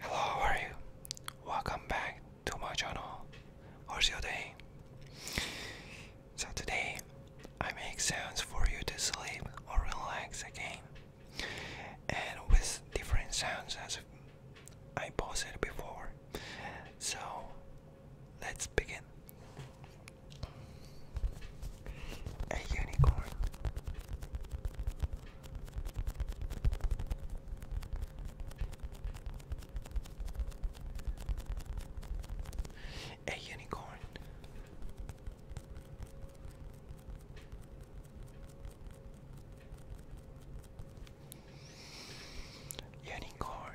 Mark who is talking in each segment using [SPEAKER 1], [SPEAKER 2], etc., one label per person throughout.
[SPEAKER 1] Hello, how are you? Welcome back to my channel. How's your day? So, today I make sounds for you to sleep or relax again, and with different sounds as I posted before. So, let's begin. A unicorn. A unicorn. Unicorn.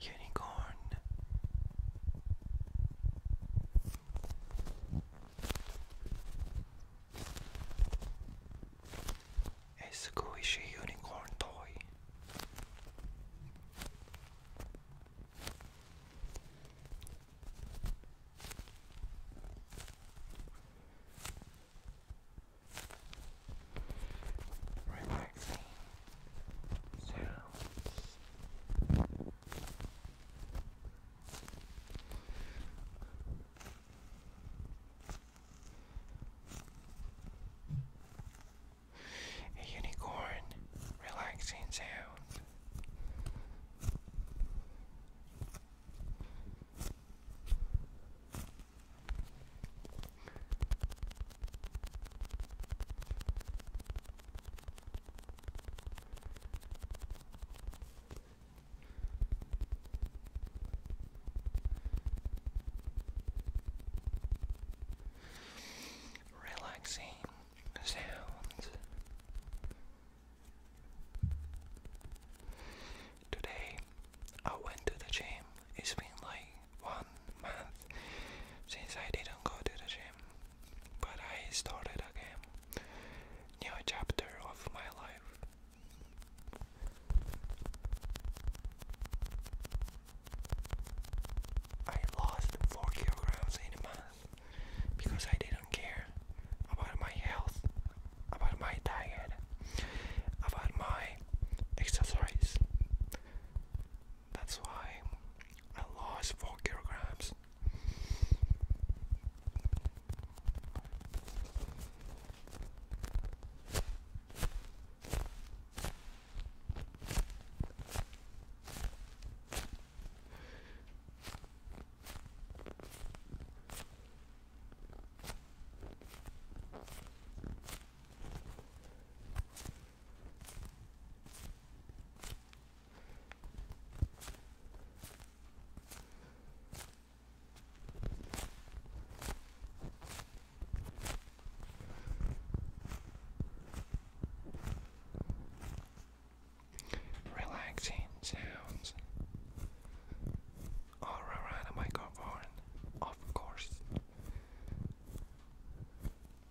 [SPEAKER 1] Unicorn A squishy unicorn toy Relaxing sounds a unicorn relaxing sound. Relaxing sounds. Today I went to the gym. It's been like one month since I didn't go to the gym, but I started again. New chapter of my life. I lost 4 kilograms in a month because I didn't care about my health, about my diet, about my exercise. That's why I lost four kilograms. Relaxing sounds all around the microphone, of course.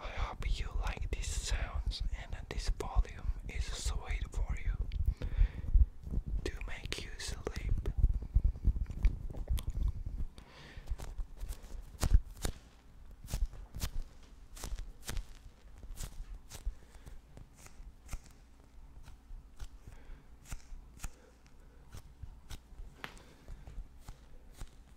[SPEAKER 1] I hope you like these sounds and this volume is sweet for you to make you sleep.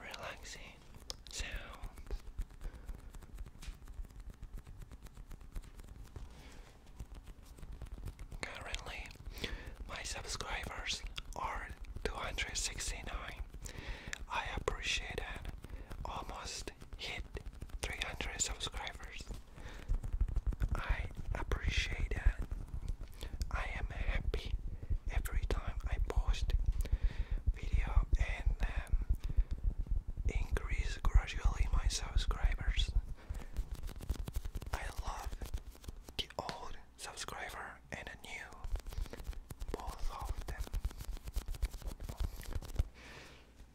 [SPEAKER 1] relaxing sound. Currently, my subscribers are 269. I appreciate it. Almost hit 300 subscribers. I appreciate it. I am happy every time I post video and um, increase gradually my subscribers. I love the old subscriber and a new both of them.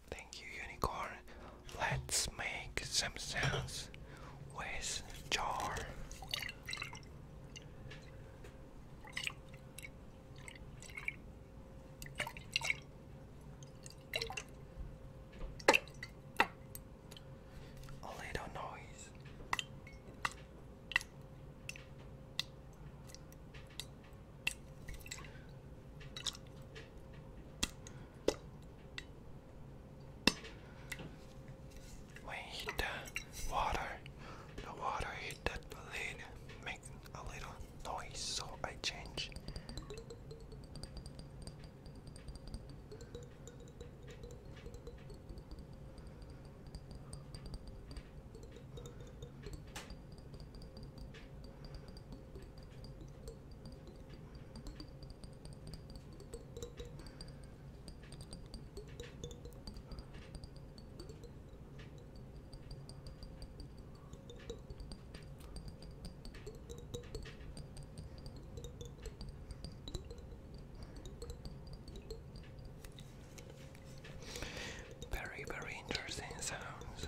[SPEAKER 1] Thank you, unicorn. Let's make some sense with jar. A little noise. When hit the water, the water hit the lid, make a little noise, so I change. Very, very interesting sounds.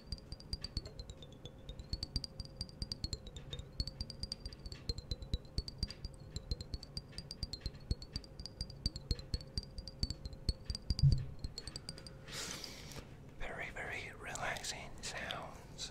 [SPEAKER 1] Very, very relaxing sounds.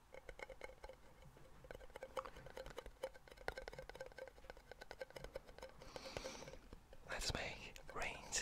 [SPEAKER 1] Let's make rain sounds.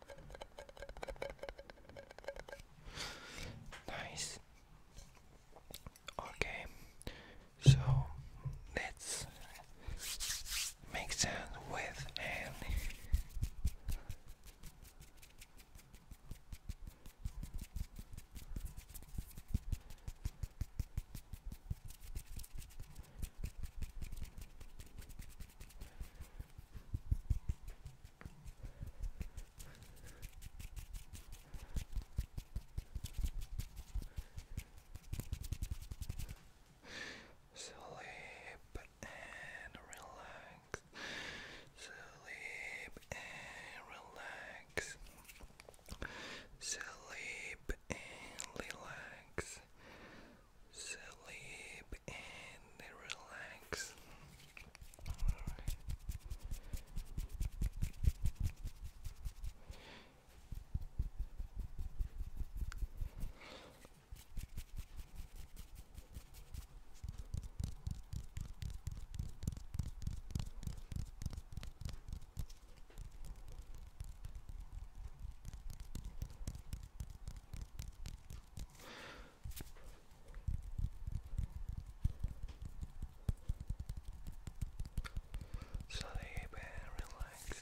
[SPEAKER 1] Nice. Okay, so let's make sound with hand. Sleep and relax. Sleep and relax. Sleep and relax. Sleep and they relax. Sleep and relax.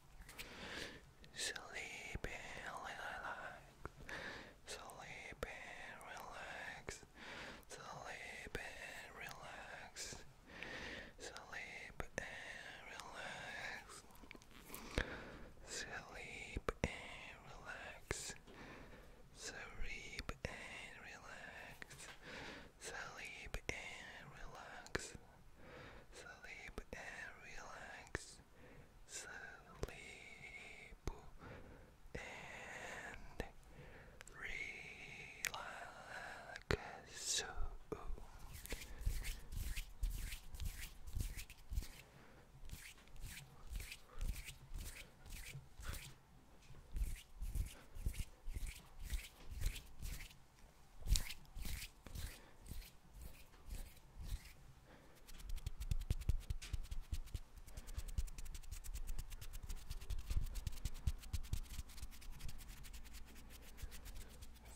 [SPEAKER 1] Sleepy, relax. Sleepy, relax. Sleep relax. Sleep and relax. Sleep and relax. Sleep and relax. Sleep and relax. Sleep and relax. Sleep and relax.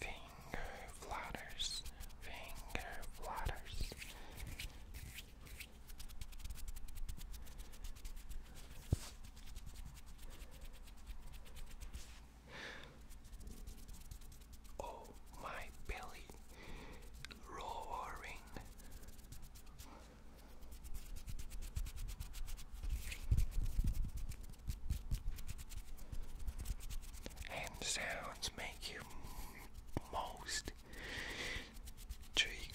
[SPEAKER 1] Finger flutters, finger flutters. Oh, my belly roaring. And sounds make you most triggered.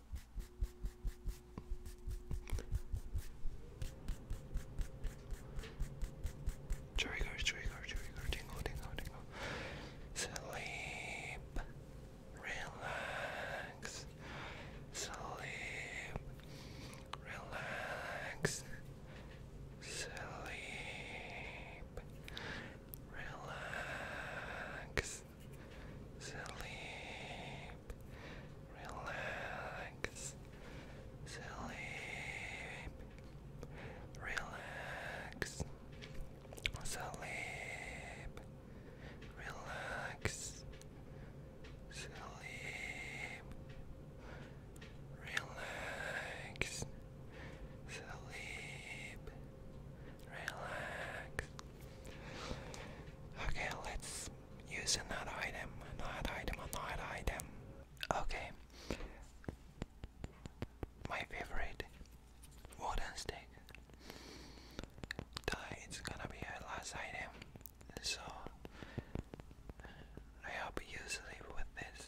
[SPEAKER 1] Trigger, trigger, trigger, tingle, tingle, tingle. Sleep, relax, sleep, relax, sleep, relax, sleep, relax, sleep, relax, sleep, relax, sleep, relax, sleep, relax. Okay, let's Use another item, another item, another item. Okay. My favorite wooden stick. It's gonna be our last item, so I hope you sleep with this.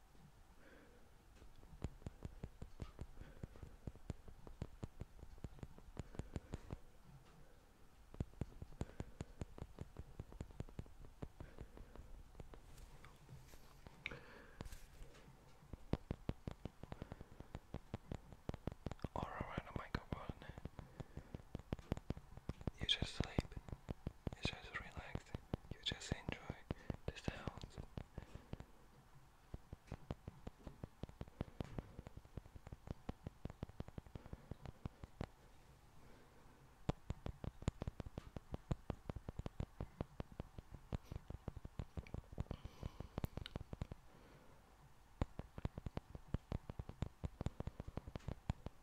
[SPEAKER 1] Or around a microphone. You just sleep. It's just relax. You just enjoy the sounds.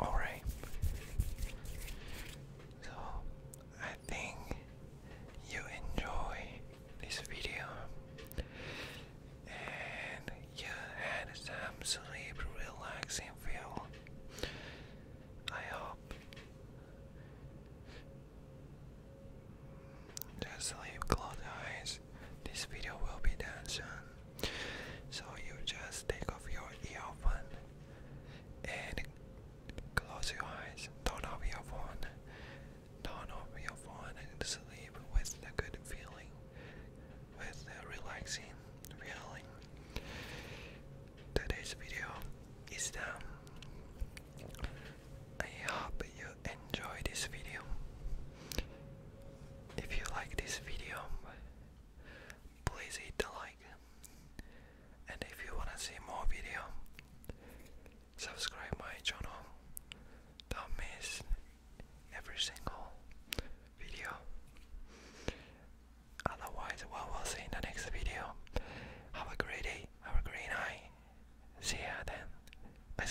[SPEAKER 1] Alright. So, I think you enjoy this video and you had some sleep relaxing feel. I hope. Just sleep, close eyes, this video will be done soon so you just take off your earphone and close your eyes turn off your phone turn off your phone and sleep with the good feeling with the relaxing feeling today's video is done I hope you enjoy this video if you like this video, please hit the like. And if you wanna see more video, subscribe my channel. Don't miss every single video. Otherwise, we will see in the next video. Have a great day. Have a green eye. See you then. Bye.